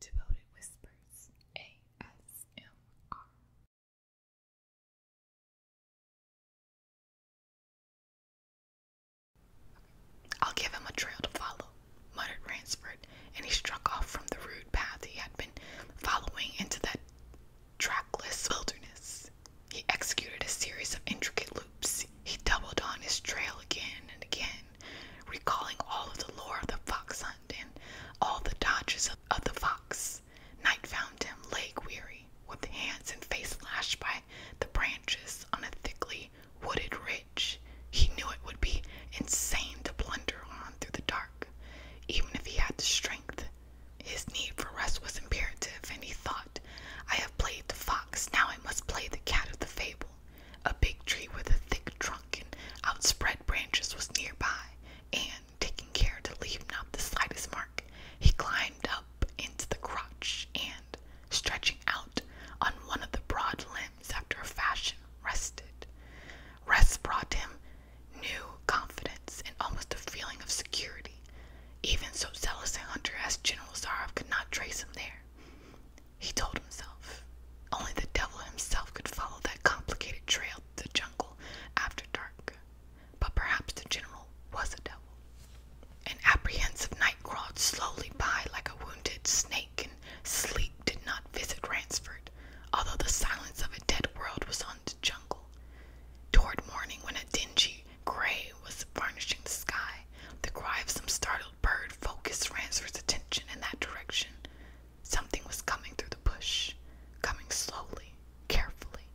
Devoted Whispers ASMR. I'll give him a trail to follow, muttered Ransford, and he struck off from the rude path he had been following into that trackless wilderness. He executed a series of intricate loops. He doubled on his trail again and again, recalling all of the lore of the fox hunt and all the dodges of, the fox. Night found him leg weary, with hands and face lashed by the branches on a thickly wooded ridge. He knew it would be insane to blunder on through the dark, even if he had the strength. His need for rest was imperative, and he thought, I have played the fox, now I must play the cat of the fable. A big tree with a thick trunk and outspread branches was nearby, and, taking care to leave not the slightest mark, he climbed up into the crotch and, stretching out on one of the broad limbs after a fashion, rested. Rest brought him new confidence and almost a feeling of security. Even so zealous a hunter as General Zarev could not trace him there. He told himself. Only the devil himself could follow that complicated trail to the jungle after dark. But perhaps the general was a devil. An apprehensive night crawled slowly by like a wounded snake, and sleep did not visit Ransford, although the silence of a dead world was on the jungle. Toward morning, when a dingy gray was varnishing the sky, the cry of some startled the bird focused Ransford's attention in that direction. Something was coming through the bush, coming slowly, carefully,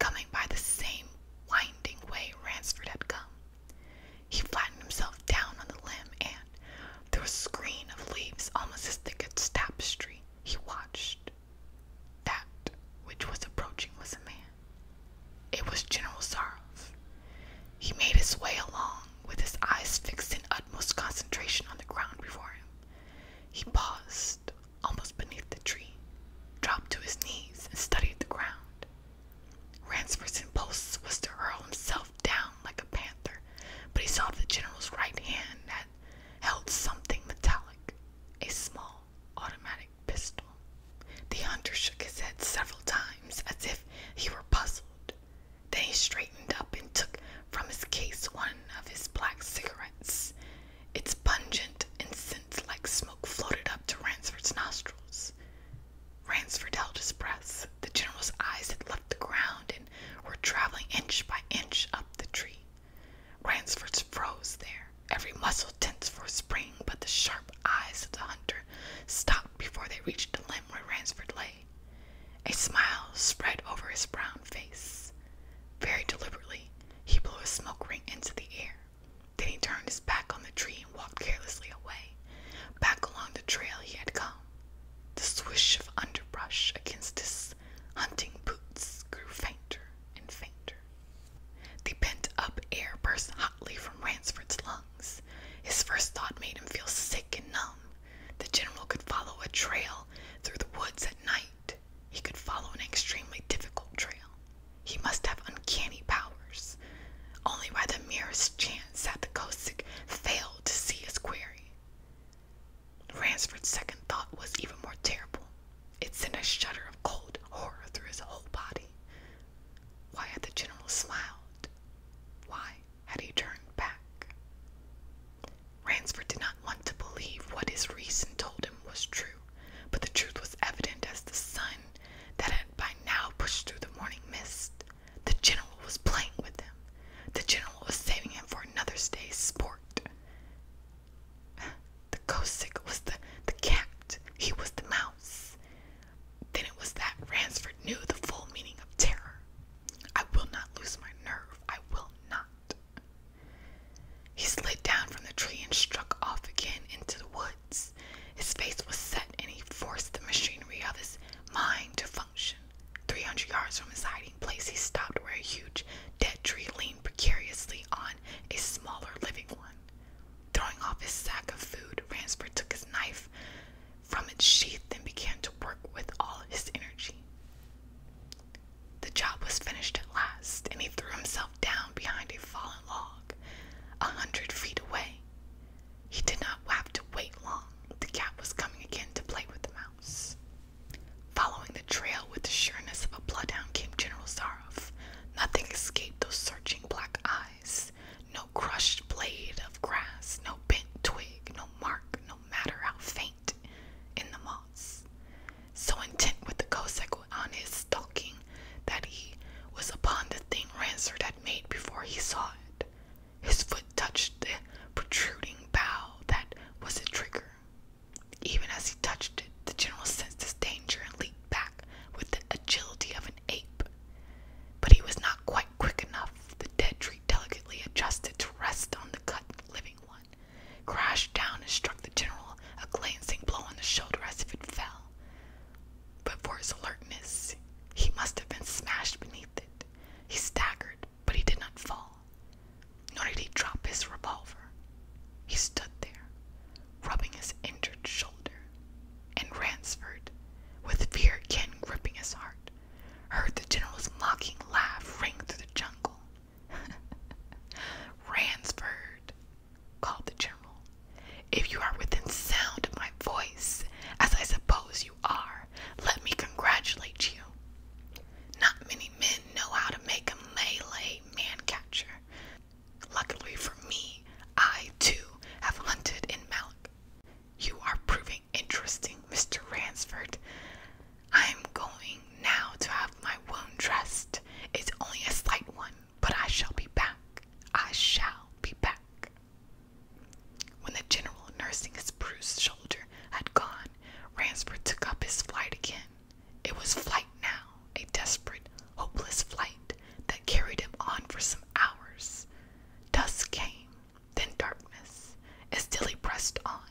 coming by the same winding way Ransford had come. He flattened himself down on the limb and, through a screen of leaves almost as thick as tapestry, he watched. That which was approaching was a man. It was General Sarov. He made his way along, with his eyes fixed in utmost concentration on the ground before him. He paused almost beneath the tree, dropped to his knees, and studied the ground. Ransford's impulse was to hurl himself down like a panther, but he saw the general's right hand had held something metallic, a small automatic pistol. The hunter shook his head several times as if he were puzzled, then he straightened up and took from his case one of his black cigarettes. Its pungent incense like smoke floated up to Ransford's nostrils. Ransford held his breath. The general's eyes had left the ground and were traveling inch by inch up the tree. Ransford froze there, every muscle tense for a spring, but the sharp eyes of the hunter stopped before they reached the limb where Ransford lay a smile spread over his brown face. Very deliberately, he blew a smoke ring into the air. Then he turned his back on the tree and walked carelessly away, back along the trail he had come. The swish of underbrush against his hunting boots grew fainter and fainter. The pent up air burst hotly from Ransford's lungs. His first thought made him feel sick and numb. The general could follow a trail through the woods at night. He could follow an extremely difficult trail. He must have uncanny powers. Only by the merest chance had the Kosick failed to see his quarry. Ransford's second thought was even more terrible. It sent a shudder of cold horror through his whole body. Why had the general smiled? Why? had he turned back. Ransford did not want to believe what his reason told him was true, but the truth was evident as the sun that had by now pushed through the morning mist. The general was playing with him. The general was saving him for another day's sport. The Kosik was the, the cat. He was the mouse. Then it was that Ransford knew the full meaning of terror. I will not lose my nerve. I will not. He slid down from the tree and struck off again into the woods. His face was set and he forced the machinery of his mind to function. Three hundred yards from his hiding place, he stopped where a huge dead tree leaned precariously on a smaller living one. Throwing off his sack of food, Ransford took his knife from its sheath and began to work with all his energy. The job was finished at last, and he threw himself down behind a fallen log a hundred feet away. He did not have to wait long. The cat was coming again to play with the mouse. Following the trail with the sureness of a bloodhound came General Zarov. Nothing escaped those searching black eyes no crushed blade of grass, no bent twig, no mark, no matter how faint in the moss. So intent with the Cossack on his stalking that he was upon the thing Ransard had made before he saw it. His foot touched the protruding bough that was the trigger. Even as he touched it, the general sensed his danger and leaped back with the agility of an ape. But he was not quite quick enough, the dead tree delicately adjusted to rest on the cut living one, crashed down and struck the general a glancing blow on the shoulder as if it fell. But for his alertness, he must have been smashed beneath it. He staggered, but he did not fall, nor did he drop his revolver. He stood there, rubbing his injured shoulder, and Ransford, with fear again gripping his heart, Heard the general's mocking laugh ring through the jungle. Ransford, called the general, if you are within sound of my voice, as I suppose you are, let me congratulate you. Not many men know how to make a melee man catcher. Luckily for me, I too have hunted in Malak. You are proving interesting, Mr. Ransford. I am going now to have my wound dressed. It's only a slight one, but I shall be back. I shall be back. When the general nursing his bruised shoulder had gone, Ransford took up his flight again. It was flight now, a desperate, hopeless flight that carried him on for some hours. Dusk came, then darkness, as still pressed on.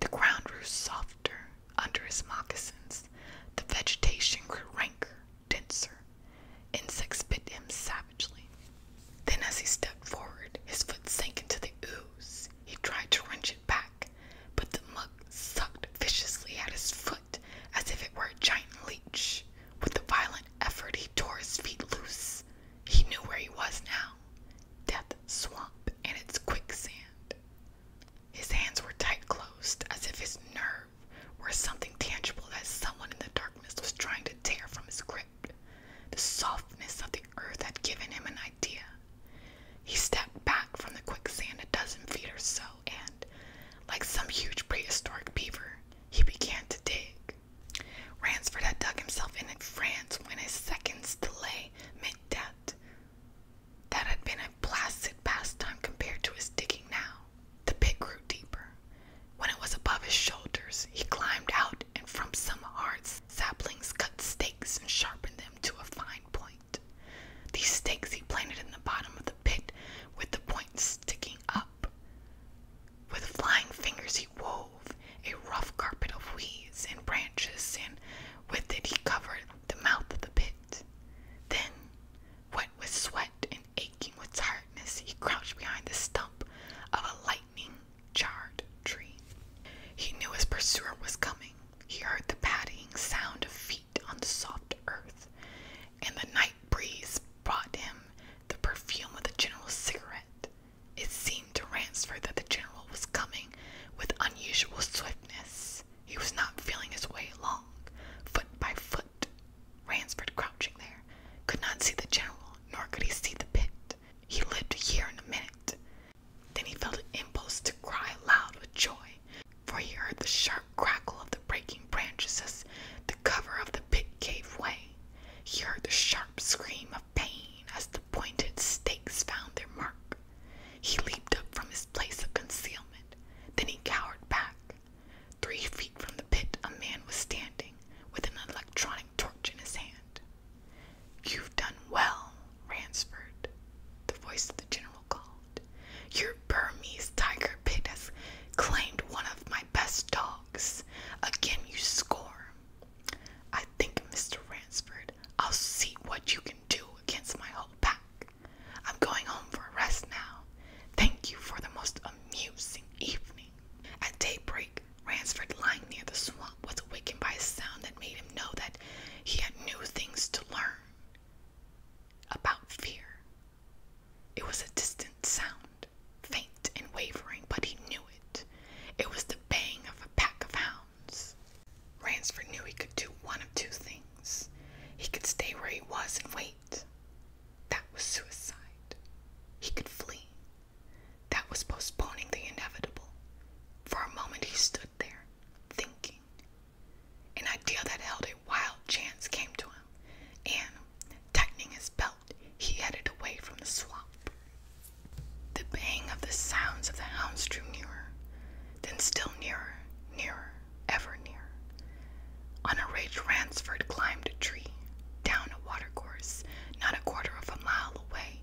The ground grew softer under his moccasins, the vegetation grew ranker, denser. Insects bit him savagely. Then, as he stepped forward, his foot sank into the ooze. He tried to wrench it back, but the mud sucked viciously at his foot as if it were a giant leech. With a violent effort, he tore his feet loose he knew where he was now Death Swamp and its quicksand. His hands were tight closed, as if his nerve were something tangible that someone in the darkness was trying to tear from his grip. The softness of the earth had given him an idea. He stepped back from the quicksand a dozen feet or so, and, like some huge prehistoric beaver, he began to dig. Ransford had dug himself in France when his second's delay meant debt. That had been a placid pastime compared to his digging now. The pit grew deeper. When it was above his shoulders, he climbed out and from some hard saplings cut stakes and sharpened them to a fine point. These stakes he planted in the bottom of the pit with the points sticking up. With flying fingers he wove a rough carpet of weeds and branches, and with it he covered the mouth of the pit. Then, wet with sweat and aching with tiredness, he crouched behind the stump of a lightning charred tree. He knew his pursuer was coming. He heard the padding sound of feet on the soft earth, and the night breeze brought him the perfume of the general's cigarette. It seemed to Ransford that the General was coming with unusual swiftness. He was not feeling his way along, foot by foot. Ransford, crouching there, could not see the General, nor could he see the pit. He lived here in a minute. Then he felt an impulse to cry aloud with joy, for he heard the sharp crackle of the breaking branches as the cover of the pit gave way. He heard the sharp scream of pain as the pointed stakes found their mark. He leaped up from his place of concealment. Then he cowered back. Three feet from the pit, a man was standing with an electronic torch in his hand. You've done well, Ransford, the voice of the general called. Your Burmese tiger pit has claimed one of my best dogs. Again, you score. I think, Mr. Ransford, I'll see what you can do against my whole pack. I'm going home for a rest now. Thank you for the most amusing evening. At daybreak, Ransford, lying near the swamp, was awakened by a sound that made him know that he had new things to learn about fear. It was a distant sound, faint and wavering, but he knew it. It was the bang of a pack of hounds. Ransford knew he could do one of two things. He could stay where he was and wait. That was suicide. He could flee. That was postponing the inevitable. For a moment he stood there, thinking. An idea that held a wild chance came to him, and, tightening his belt, he headed away from the swamp. The bang of the sounds of the hounds drew nearer, then still nearer, nearer, ever nearer. On a ridge, Ransford climbed a tree, down a watercourse, not a quarter of a mile away.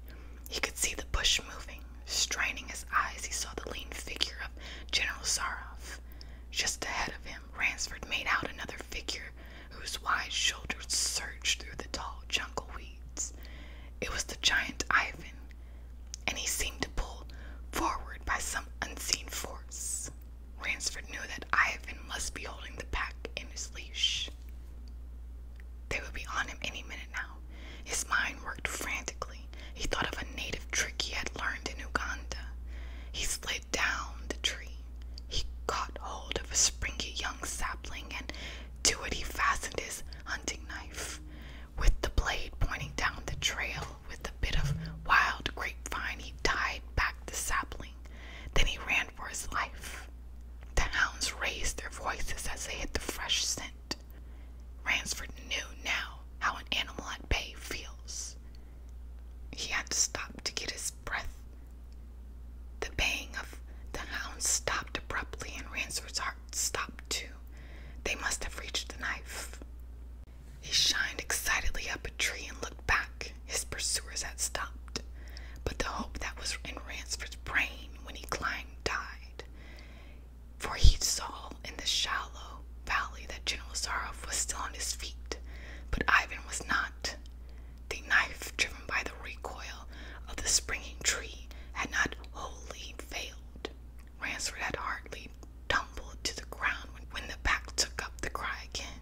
He could see the bush moving. Straining his eyes, he saw the lean figure of General Sarov. Just ahead of him, Ransford made out another figure whose wide shoulders surged through the tall jungle weeds. It was the giant Ivan, and he seemed to pull forward by some unseen force. Ransford knew that Ivan must be holding the pack in his leash. They would be on him any minute now. His mind worked frantically. He thought of a native trick he had learned in Uganda. He slid down the tree, he caught hold of a springy young sapling, and to it he fastened his hunting knife, with the blade pointing down the trail. With a bit of wild grapevine, he tied back the sapling. Then he ran for his life. The hounds raised their voices as they hit the fresh scent. Ransford knew now how an animal at bay feels. He had to stop to get his breath. The baying of the hounds stopped abruptly, and Ransford's heart stopped too. They must have reached the knife. He shined excitedly up a tree and looked back. His pursuers had stopped, but the hope that was in Ransford's brain when he climbed died, for he saw in the shallow valley that General Zarov was still on his feet, but Ivan was not. The knife, driven by the recoil of the springing tree, had not wholly failed. Ransford had hardly tumbled to the ground when the pack took up the cry again.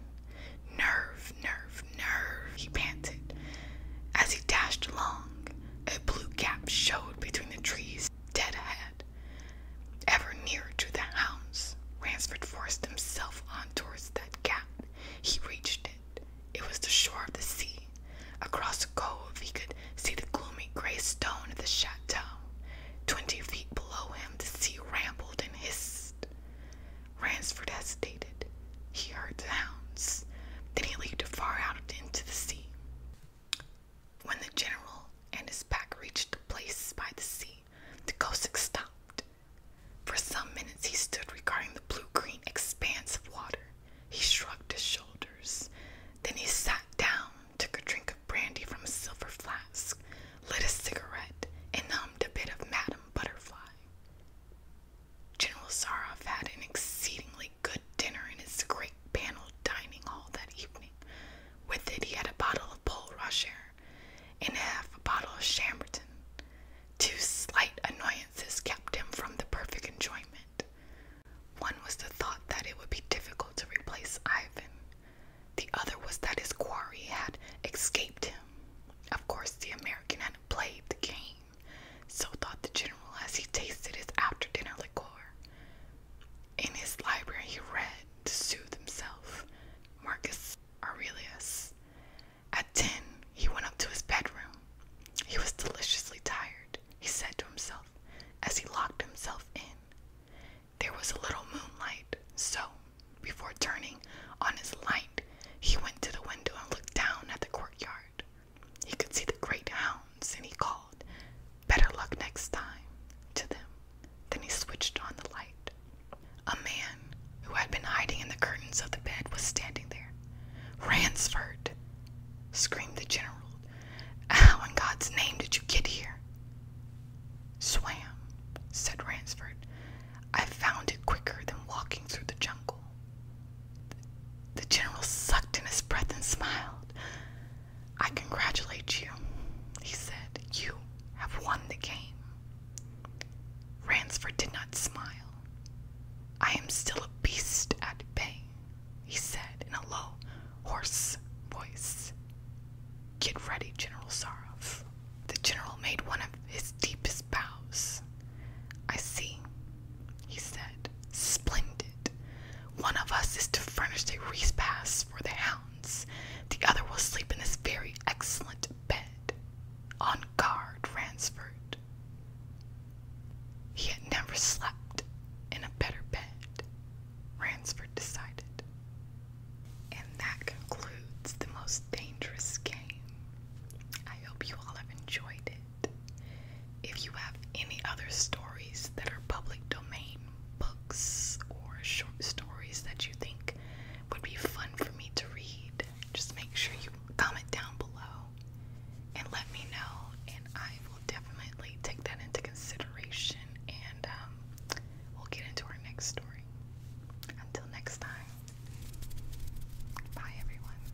Nerve, nerve, nerve, he panted. As he dashed along, a blue gap showed between the trees dead ahead. Ever nearer to the hounds, Ransford forced himself on towards that gap. He reached it, it was the shore of the sea. Across the cove, he could see the gloomy gray stone of the chateau. Twenty feet below him, the sea rambled and hissed. Ransford hesitated. He heard the hounds. Then he leaped far out into the sea. When the general and his pack reached the place by the sea, the Cossack stopped. For some minutes he stood regarding the blue green expanse of water. He shrugged his shoulders. Then he sat down, took a drink of brandy from a silver flask, lit a cigarette, and hummed a bit of Madame Butterfly. General Sarov had an exceedingly good dinner in his great paneled dining hall that evening. With it, he had a bottle of Pol Rocher and half a bottle of Chambertin. Two slight annoyances kept him from the perfect enjoyment. One was the thought that it would be difficult to replace Ivan. The other was that his quarry had escaped him. Of course, the American had played the game, so thought the general as he tasted his after dinner liqueur. In his library, he read to soothe himself Marcus Aurelius, at ten, he went up to his bedroom. He was deliciously tired, he said to himself as he locked himself in. There was a little moonlight, so before turning on his light, he went to the window and looked down at the courtyard. He could see the great hounds, and he called, Better luck next time, to them. Then he switched on the light. A man who had been hiding in the curtains of the bed was standing there. Ransford! screamed the general. How in God's name did you get here? Swam, said Ransford. I found it quicker than walking through the jungle. The general sucked in his breath and smiled. I congratulate you, he said. You have won the game. Ransford did not smile. I am still a beast at bay, he said in a low, hoarse voice. Get ready, General Sarov. The general made one of his deepest bows. I see, he said. Splendid. One of us is to furnish a repast for the hounds, the other will sleep in this very excellent bed. On guard Ransford. He had never slept in a better bed, Ransford decided. And that concludes the most dangerous game. I hope you all have enjoyed it. If you have any other stories that are public domain books or short stories that you think would be fun for me to read, just make sure you comment down below and let me know, and I will definitely take that into consideration, and um, we'll get into our next story. Until next time, bye everyone.